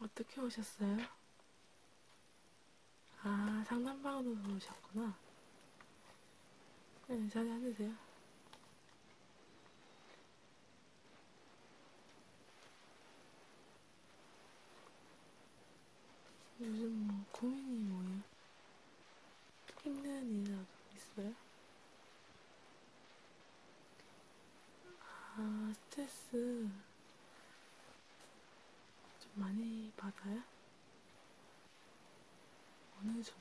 어떻게 오셨어요? 아, 상담방으로 오셨구나. 네, 자리 앉으세요. 요즘 뭐 고민이 뭐예요? 힘든 일이라도 있어요? 아, 스트레스. 좀 많이 받아요? 어느 정도?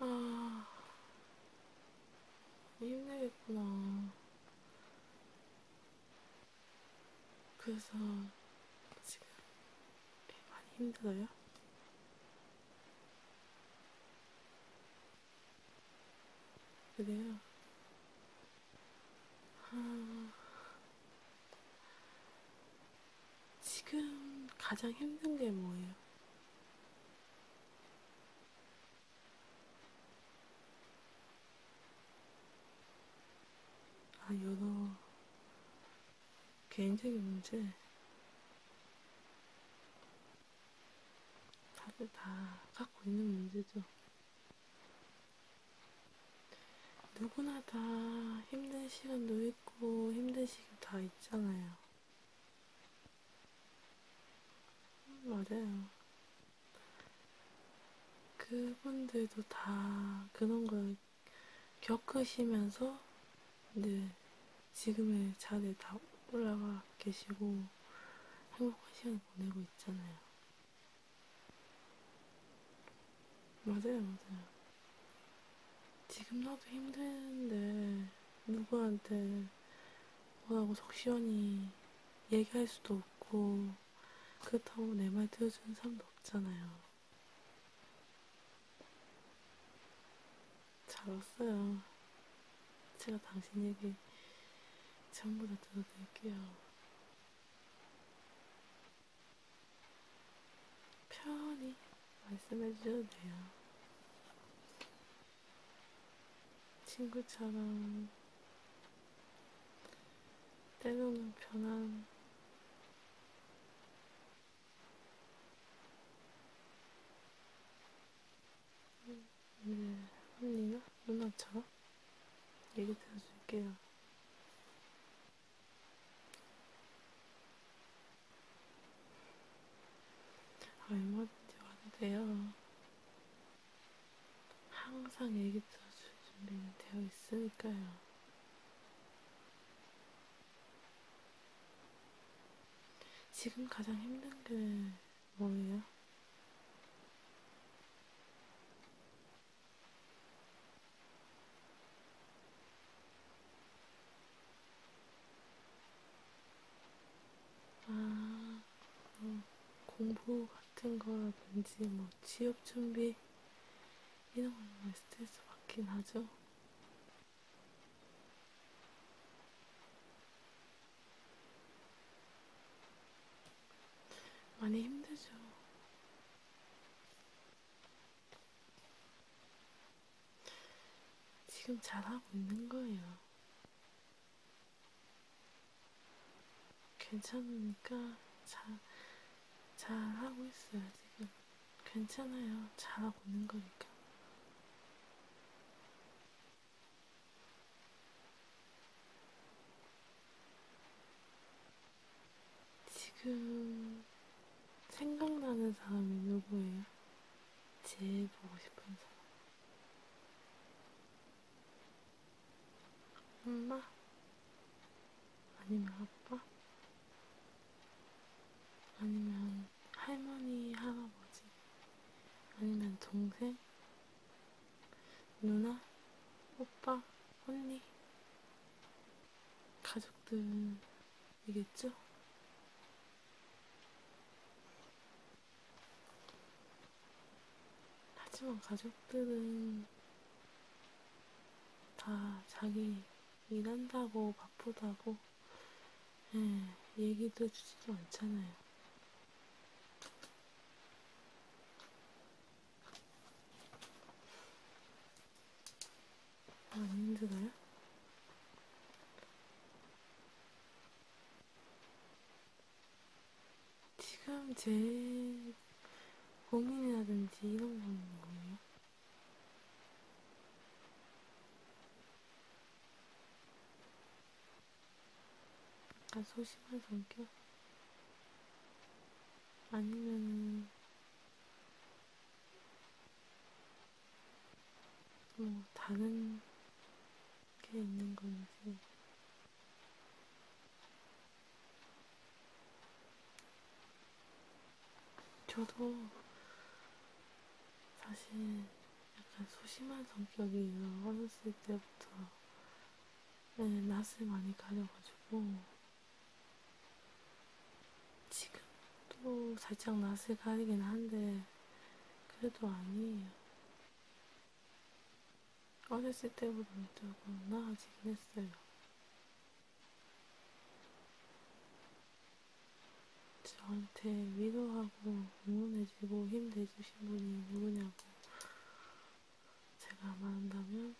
아, 힘들겠구나. 그래서 지금 많이 힘들어요? 그래요. 아, 지금 가장 힘든 게 뭐예요? 아, 여러 개인적인 문제. 다들 다 갖고 있는 문제죠. 누구나 다 힘든 시간도 있고 힘든 시간 다 있잖아요. 맞아요. 그분들도 다 그런 걸 겪으시면서 이제 지금의 자리에 다 올라가 계시고 행복한 시간을 보내고 있잖아요. 맞아요, 맞아요. 지금 나도 힘든데 누구한테 뭐라고 적시원히 얘기할 수도 없고 그렇다고 내 말 들어주는 사람도 없잖아요. 잘 왔어요. 제가 당신 얘기 전부 다 들어드릴게요. 편히 말씀해 주셔도 돼요. 친구처럼 때로는 편한 네, 흘리나? 누나처럼? 얘기 들어줄게요. 얼마든지 와도 돼요. 항상 얘기 들어줄 준비는 되어 있으니까요. 지금 가장 힘든 게 뭐예요? 아, 뭐 공부 같은 거라든지 뭐 취업 준비 이런 거는 스트레스 받긴 하죠. 많이 힘들죠. 지금 잘하고 있는 거예요. 괜찮으니까 잘, 잘하고 있어요, 지금. 괜찮아요. 잘하고 있는 거니까. 지금 생각나는 사람이 누구예요? 제일 보고 싶은 사람. 엄마? 아니면 아빠? 아니면 할머니, 할아버지, 아니면 동생, 누나, 오빠, 언니, 가족들이겠죠? 하지만 가족들은 다 자기 일한다고 바쁘다고 에, 예, 얘기도 해주지도 않잖아요. 아, 안 힘들어요? 지금 제 고민이라든지 이런 건 뭐예요? 약간 아, 소심한 성격? 아니면은, 뭐, 다른 게 있는 건지. 저도 사실 약간 소심한 성격이에요. 어렸을 때부터 네, 낯을 많이 가려가지고 지금도 살짝 낯을 가리긴 한데 그래도 아니에요. 어렸을 때보다는 조금 나아지긴 했어요. 저한테 위로하고 응원해주고 힘내주신 분이 누구냐고 제가 말한다면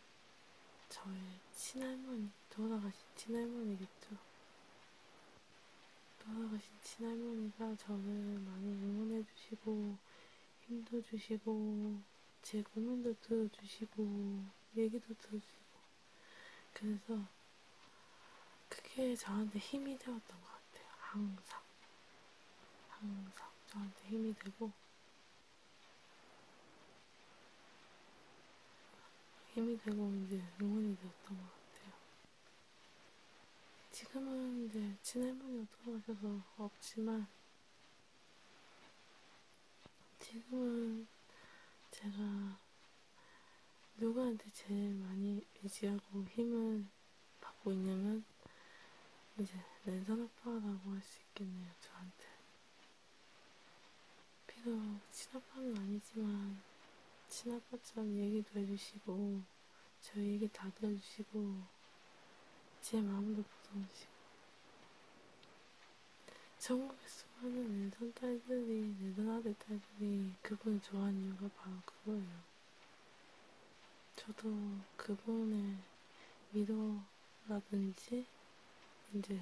저의 친할머니, 돌아가신 친할머니겠죠. 돌아가신 친할머니가 저를 많이 응원해주시고 힘도 주시고 제 고민도 들어주시고 얘기도 들어주시고 그래서 그게 저한테 힘이 되었던 것 같아요. 항상. 항상 저한테 힘이 되고, 힘이 되고 이제 응원이 되었던 것 같아요. 지금은 이제 친할머니가 돌아가셔서 없지만, 지금은 제가 누구한테 제일 많이 의지하고 힘을 받고 있냐면 이제 랜선 아빠라고 할 수 있겠네요 저한테 비록 친아빠는 아니지만 친아빠처럼 얘기도 해주시고 저 얘기 다 들어주시고 제 마음도 보듬으시고 천국에 수많은 인선 딸들이, 내전아들 딸들이 그분을 좋아하는 이유가 바로 그거예요. 저도 그분의 위로라든지, 이제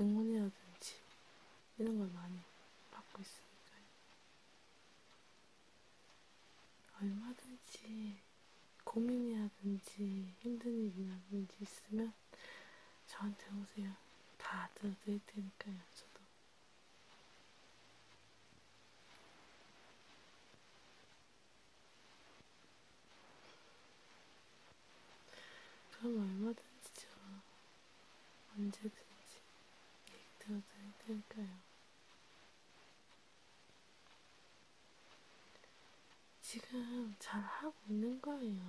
응원이라든지, 이런 걸 많이 받고 있으니까요. 얼마든지 고민이라든지 힘든 일이라든지 있으면 저한테 오세요. 다 들어드릴 테니까요, 저도. 그럼 얼마든지죠. 언제든지 얘기 들어드릴 테니까요. 지금 잘하고 있는 거예요.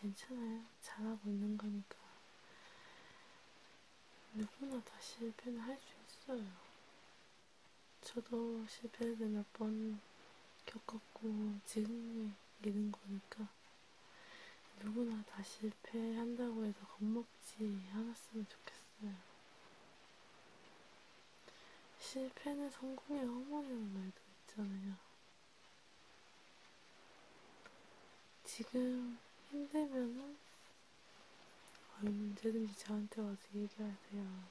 괜찮아요. 잘하고 있는 거니까. 누구나 다 실패는 할 수 있어요. 저도 실패를 몇 번 겪었고, 지금 이는 거니까. 누구나 다 실패한다고 해서 겁먹지 않았으면 좋겠어요. 실패는 성공의 어머니라는 말도 있잖아요. 지금 힘들면은 언제든지 저한테 와서 얘기하세요.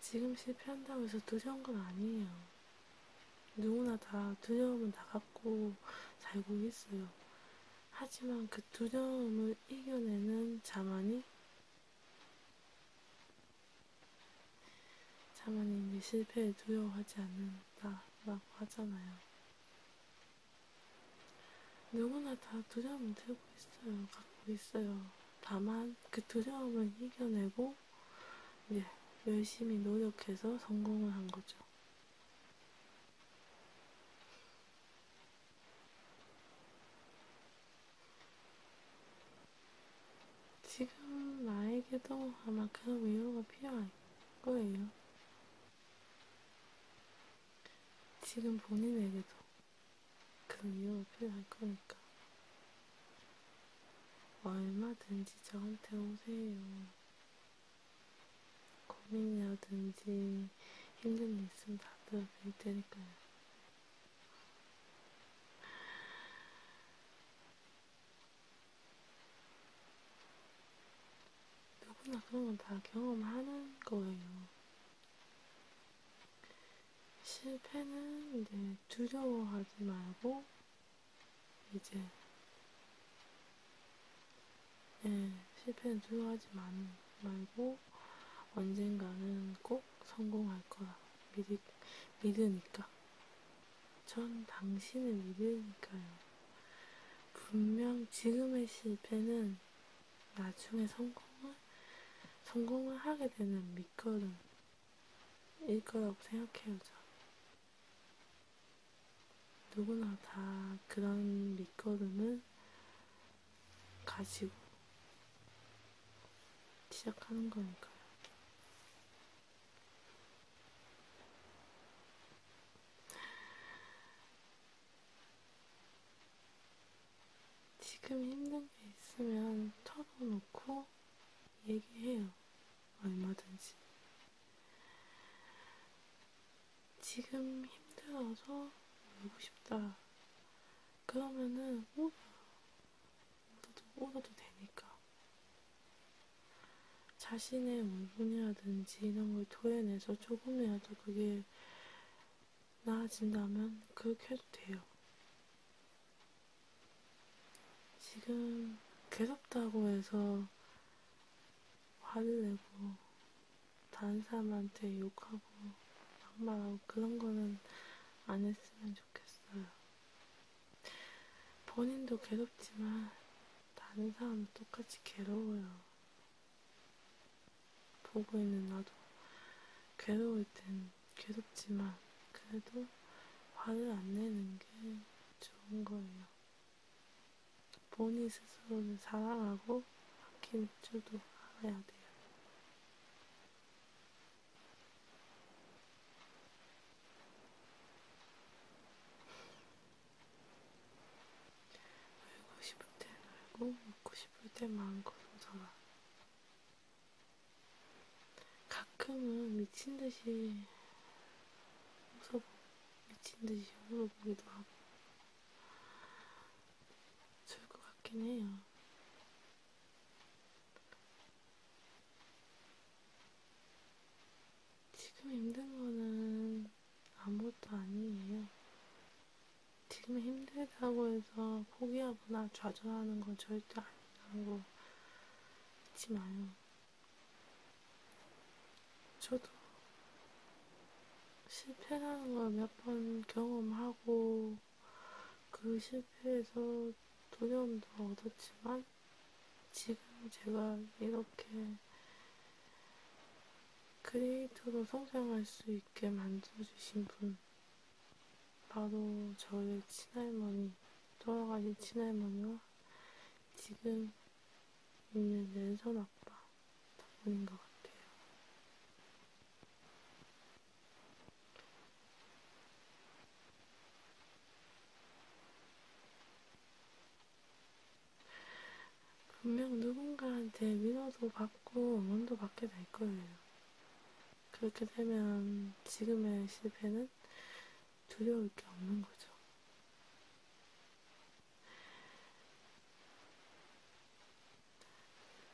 지금 실패한다고 해서 두려운 건 아니에요. 누구나 다 두려움은 다 갖고 살고 있어요. 하지만 그 두려움을 이겨내는 자만이 자모님이 실패를 두려워하지 않는다라고 하잖아요. 누구나 다 두려움을 들고 있어요. 갖고 있어요. 다만 그 두려움을 이겨내고 이제 열심히 노력해서 성공을 한 거죠. 지금 나에게도 아마 그런 위로가 필요할 거예요. 지금 본인에게도 그런 위로가 필요할 거니까. 얼마든지 저한테 오세요. 고민이라든지 힘든 일 있으면 다 들어드릴 테니까요. 누구나 그런 건 다 경험하는 거예요. 실패는 이제 두려워하지 말고, 이제, 예, 실패는 두려워하지 마, 말고, 하고 언젠가는 꼭 성공할 거야. 믿으, 믿으니까. 전 당신을 믿으니까요. 분명 지금의 실패는 나중에 성공을, 성공을 하게 되는 밑거름일 거라고 생각해요, 저. 누구나 다 그런 밑거름을 가지고 시작하는 거니까요. 지금 힘든 게 있으면 털어놓고 얘기해요. 얼마든지. 지금 힘들어서 울고 싶다. 그러면은 오더 어? 오더도 되니까 자신의 물분이라든지 이런 걸 토해내서 조금이라도 그게 나아진다면 그렇게 해도 돼요. 지금 괴롭다고 해서 화를 내고 다른 사람한테 욕하고 정말 그런 거는 안 했으면 좋겠어요. 본인도 괴롭지만 다른 사람도 똑같이 괴로워요. 보고 있는 나도 괴로울 땐 괴롭지만 그래도 화를 안 내는 게 좋은 거예요. 본인 스스로를 사랑하고 아낄 줄도 알아야 돼요. 울고 싶을 땐 울고, 웃고 싶을 땐 마음껏 웃어라. 가끔은 미친 듯이 웃어보고, 미친 듯이 울어보기도 하고, 좋을 것 같긴 해요. 지금 힘든 거는 아무것도 아니에요. 지금 힘들다고 해서 포기하거나 좌절하는 건 절대 아니라고 잊지 마요. 저도 실패라는 걸 몇 번 경험하고 그 실패에서 도전도 얻었지만 지금 제가 이렇게 크리에이터로 성장할 수 있게 만들어주신 분 바로 저의 친할머니 돌아가신 친할머니와 지금 있는 랜선 아빠 부분인 것 같아요. 분명 누군가한테 민호도 받고 원도 받게 될 거예요. 그렇게 되면 지금의 실패는 두려울 게 없는 거죠.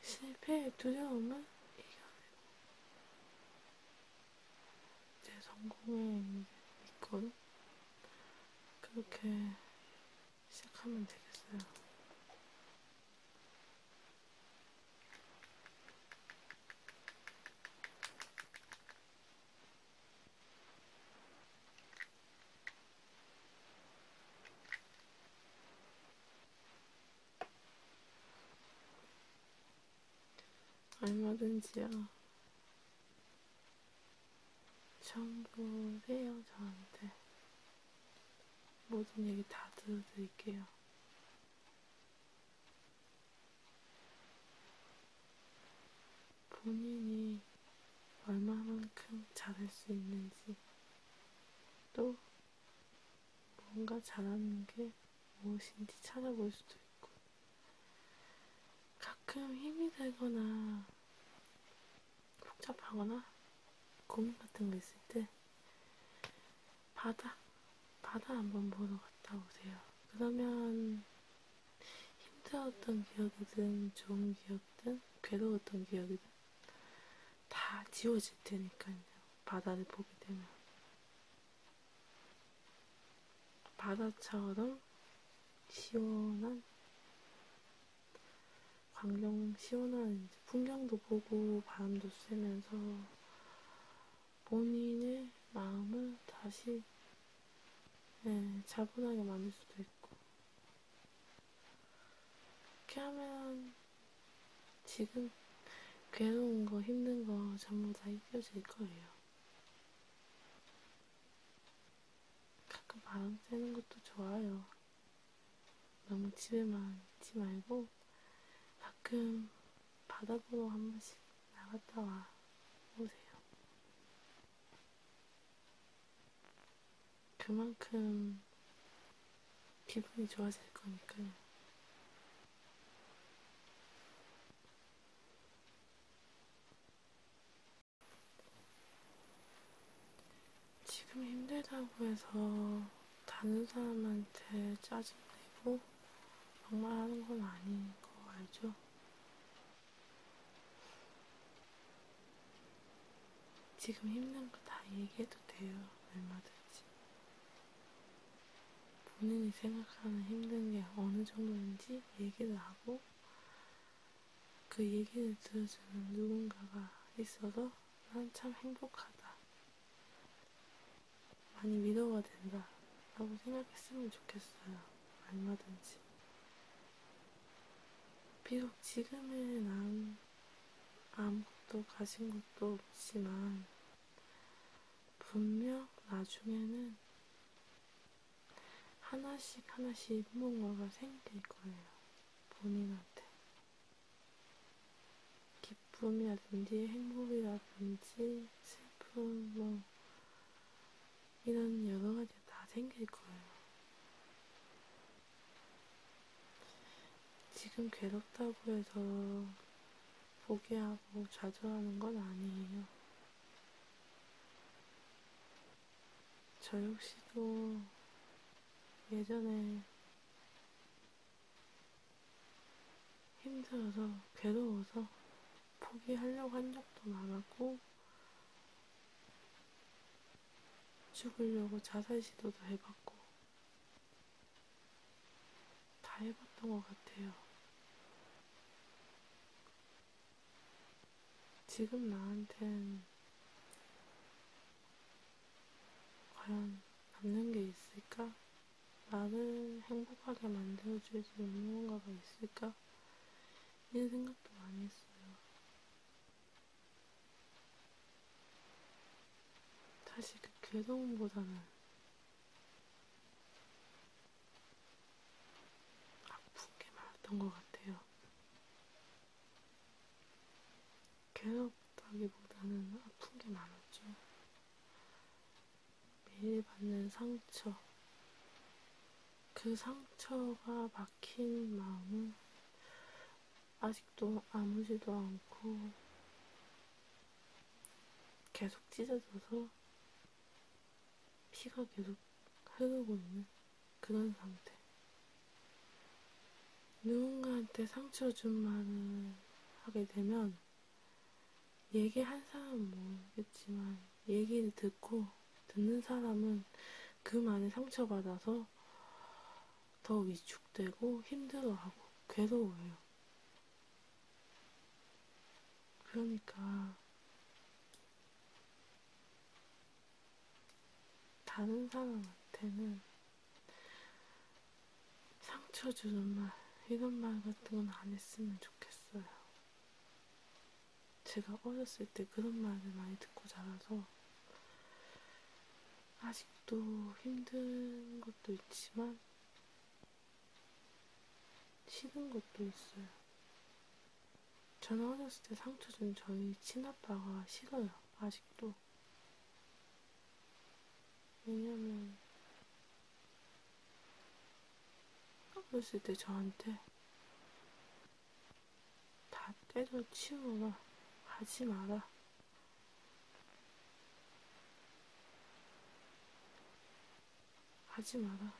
실패의 두려움을 이겨내고 제 성공에 믿고 그렇게 시작하면 되겠어요. 얼마든지요. 정보세요, 저한테. 모든 얘기 다 들어드릴게요. 본인이 얼마만큼 잘할 수 있는지 또 뭔가 잘하는 게 무엇인지 찾아볼 수도 있고 가끔 힘이 되거나 복잡하거나 고민 같은 거 있을 때 바다 바다 한번 보러 갔다 오세요. 그러면 힘들었던 기억이든 좋은 기억이든 괴로웠던 기억이든 다 지워질 테니까요. 바다를 보게 되면. 바다처럼 시원한 광경 시원한 풍경도 보고 바람도 쐬면서 본인의 마음을 다시 네, 차분하게 만들 수도 있고 이렇게 하면 지금 괴로운 거, 힘든 거 전부 다 잊혀질 거예요. 가끔 바람 쐬는 것도 좋아요. 너무 집에만 있지 말고 가끔 바다 보러 한 번씩 나갔다 와 보세요. 그만큼 기분이 좋아질 거니까요. 지금 힘들다고 해서 다른 사람한테 짜증내고 막말하는 건 아닌 거 알죠? 지금 힘든 거 다 얘기해도 돼요. 얼마든지. 본인이 생각하는 힘든 게 어느 정도인지 얘기를 하고 그 얘기를 들어주는 누군가가 있어서 난 참 행복하다. 많이 위로가 된다. 라고 생각했으면 좋겠어요. 얼마든지. 비록 지금은 아무, 아무것도 가진 것도 없지만, 분명 나중에는 하나씩 하나씩 뭔가가 생길 거예요. 본인한테. 기쁨이라든지 행복이라든지 슬픔, 뭐, 이런 여러 가지가 다 생길 거예요. 지금 괴롭다고 해서 포기하고 자주 하는 건 아니에요. 저 역시도 예전에 힘들어서 괴로워서 포기하려고 한 적도 많았고 죽으려고 자살 시도도 해봤고, 다 해봤던 것 같아요. 지금 나한텐 과연 남는 게 있을까? 나를 행복하게 만들어줄 수 있는 뭔가가 있을까? 이런 생각도 많이 했어요. 사실 그 괴로움보다는 아픈 게 많았던 것 같아요. 괴롭다기보다는 아픈 게 많았죠. 매일 받는 상처, 그 상처가 막 막힌 마음은 아직도 아무지도 않고 계속 찢어져서 피가 계속 흐르고 있는 그런 상태. 누군가한테 상처 준 말을 하게 되면 얘기 한 사람은 모르겠지만 얘기를 듣고 듣는 사람은 그 많이 상처받아서 더 위축되고 힘들어하고 괴로워요. 그러니까 다른 사람한테는 상처 주는 말, 이런 말 같은 건 안 했으면 좋겠어요. 제가 어렸을 때 그런 말을 많이 듣고 자라서 아직도 힘든 것도 있지만 싫은 것도 있어요. 저는 어렸을 때 상처 준 저희 친아빠가 싫어요. 아직도. 왜냐면 어렸을 때 저한테 다 떼서 치우거나 하지 마라. 하지 마라.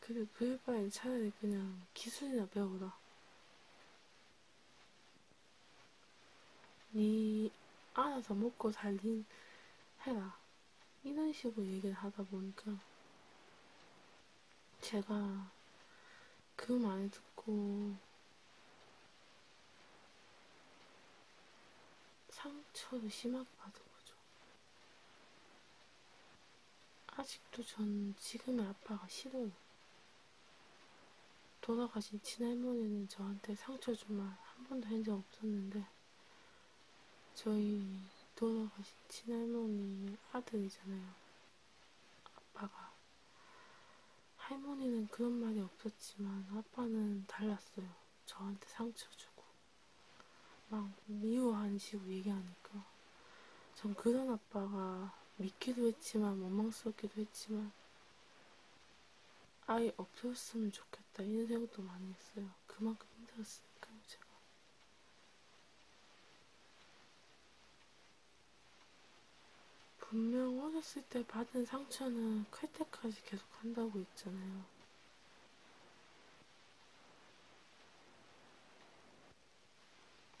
그게 그럴 바엔 차라리 그냥 기술이나 배워라. 니 알아서 먹고 살린 해라. 이런 식으로 얘기를 하다 보니까 제가 그 말을 듣고 상처를 심하게 받은 거죠. 아직도 전 지금의 아빠가 싫어요. 돌아가신 친할머니는 저한테 상처 주말 한 번도 한 적 없었는데 저희 돌아가신 친할머니 아들이잖아요. 아빠가. 할머니는 그런 말이 없었지만 아빠는 달랐어요. 저한테 상처 주고 막 미워하는 식으로 얘기하니까 전 그런 아빠가 믿기도 했지만 원망스럽기도 했지만 아예 없었으면 좋겠다 이런 생각도 많이 했어요. 그만큼 힘들었어요. 있으니까 그러니까 제가 분명 오셨을 때 받은 상처는 클 때까지 계속 한다고 했잖아요.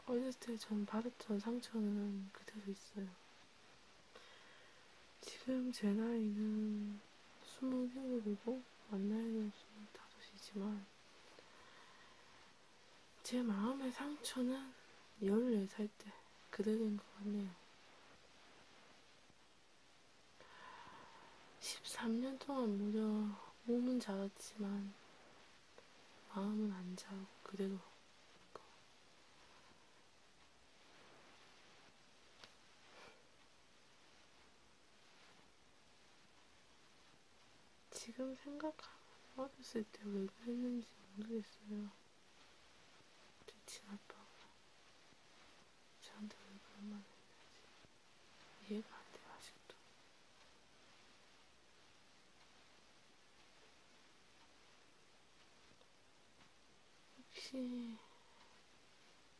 어렸을 때 전 받았던 상처는 그대로 있어요. 지금 제 나이는 20명이고 만나는 수는 5시지만 제 마음의 상처는 14살 때 그대로인 것 같네요. 13년 동안 무려 몸은 자랐지만 마음은 안 자고 그대로 지금 생각하면 어렸을 때 왜 그랬는지 모르겠어요. 대친 아빠가 저한테 왜 그런 말을 했는지 이해가 안 돼요, 아직도. 혹시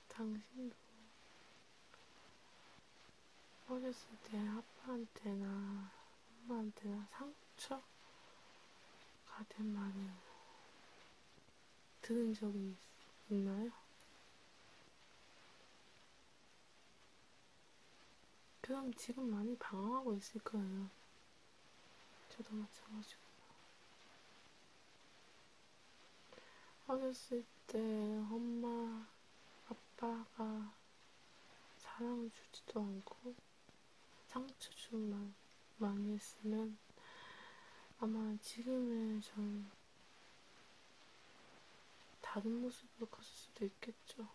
당신도 어렸을 때 아빠한테나 엄마한테나 상처가 된 말을 들은 적이 있나요? 그럼 지금 많이 방황하고 있을 거예요. 저도 마찬가지고. 어렸을 때 엄마, 아빠가 사랑을 주지도 않고 상처 좀 많이, 많이 했으면 아마 지금의 전 다른 모습으로 컸을 수도 있겠죠.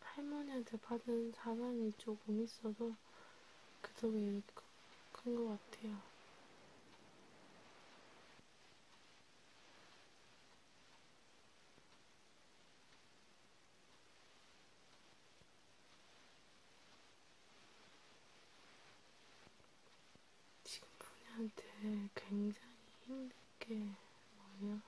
할머니한테 받은 사랑이 조금 있어도 그쪽이 큰것 같아요. 지금 분이한테 굉장히 힘들게 뭐냐?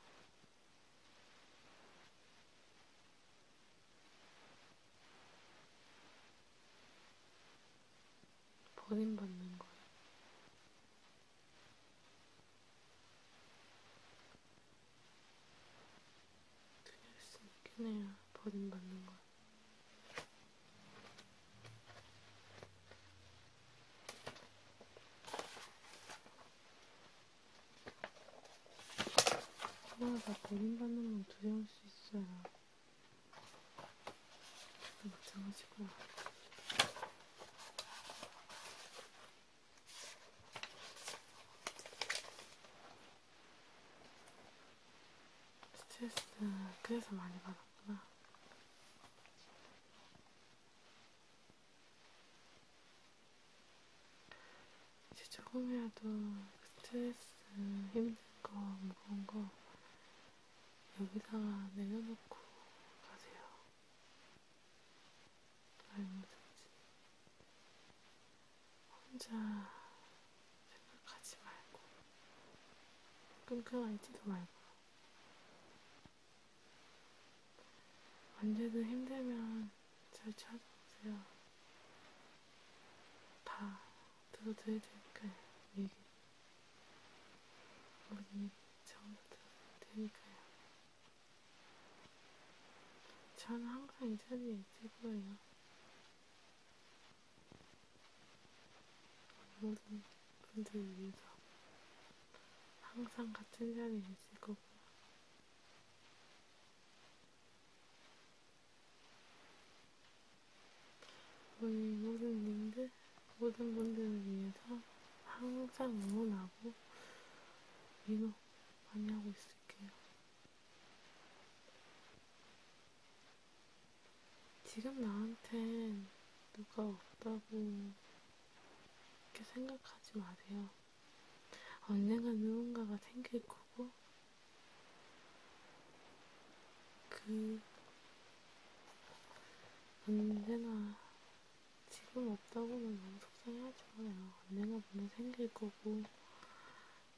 버림받는 거야. 그냥 있으니까 내가 버림받는 거야. 하나가 아, 본인 받는 건 두려울 수 있어요. 마찬가지구나. 스트레스는 그래서 많이 받았구나. 이제 조금이라도 스트레스, 힘든 거, 무거운 거 여기다가 내려놓고 가세요. 알무든지 혼자 생각하지 말고 끙끙앉지도 말고 언제든 힘들면 잘 찾아오세요. 다 들어드릴 테니까요, 얘기. 우리 전부 들어드릴 테니까요. 저는 항상 이 자리에 있을 거예요. 모든 분들을 위해서 항상 같은 자리에 있을 거고요. 우리 모든 님들, 모든 분들을 위해서 항상 응원하고 위로 많이 하고 있을게요. 지금 나한텐 누가 없다고 이렇게 생각하지 마세요. 언젠가 누군가가 생길 거예요. 거고, 그, 언제나, 지금 없다고는 너무 속상해하잖아요. 언제나 분명 생길 거고,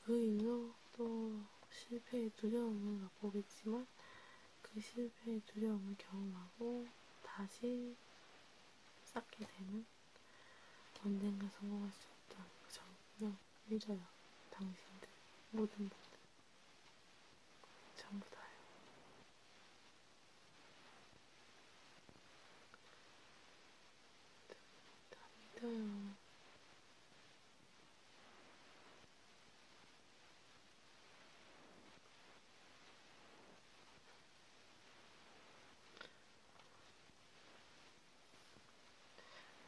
그 일로 또 실패의 두려움을 맛보겠지만, 그 실패의 두려움을 경험하고, 다시 쌓게 되는 언젠가 성공할 수 있다. 저 그냥 믿어요. 당신들 모든 분들 전부 다요. 다 믿어요.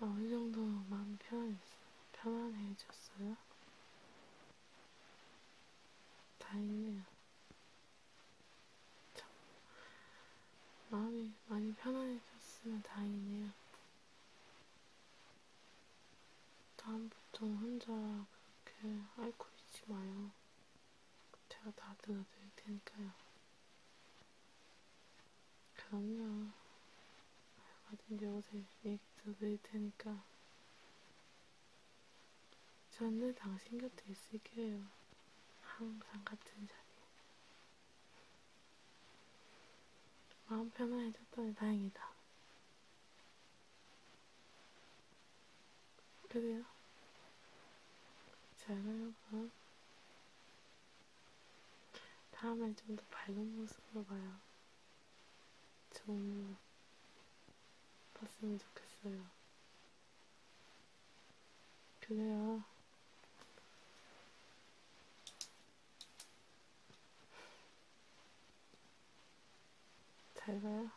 아, 어느 정도 마음 편, 편안해졌어요? 다행이네요. 참, 마음이 많이 편안해졌으면 다행이네요. 다음부터 혼자 그렇게 앓고 있지 마요. 제가 다 들어드릴 테니까요. 그럼요. 얼마든지 오세요. 얘기 드릴 테니까. 저는 당신 곁에 있을게요. 항상 같은 자리. 마음 편안해졌더니 다행이다. 그래요? 잘 여러분. 다음엔 좀더 밝은 모습으로 봐요. 좀 봤으면 좋겠어요. 그래요. 잘 봐요.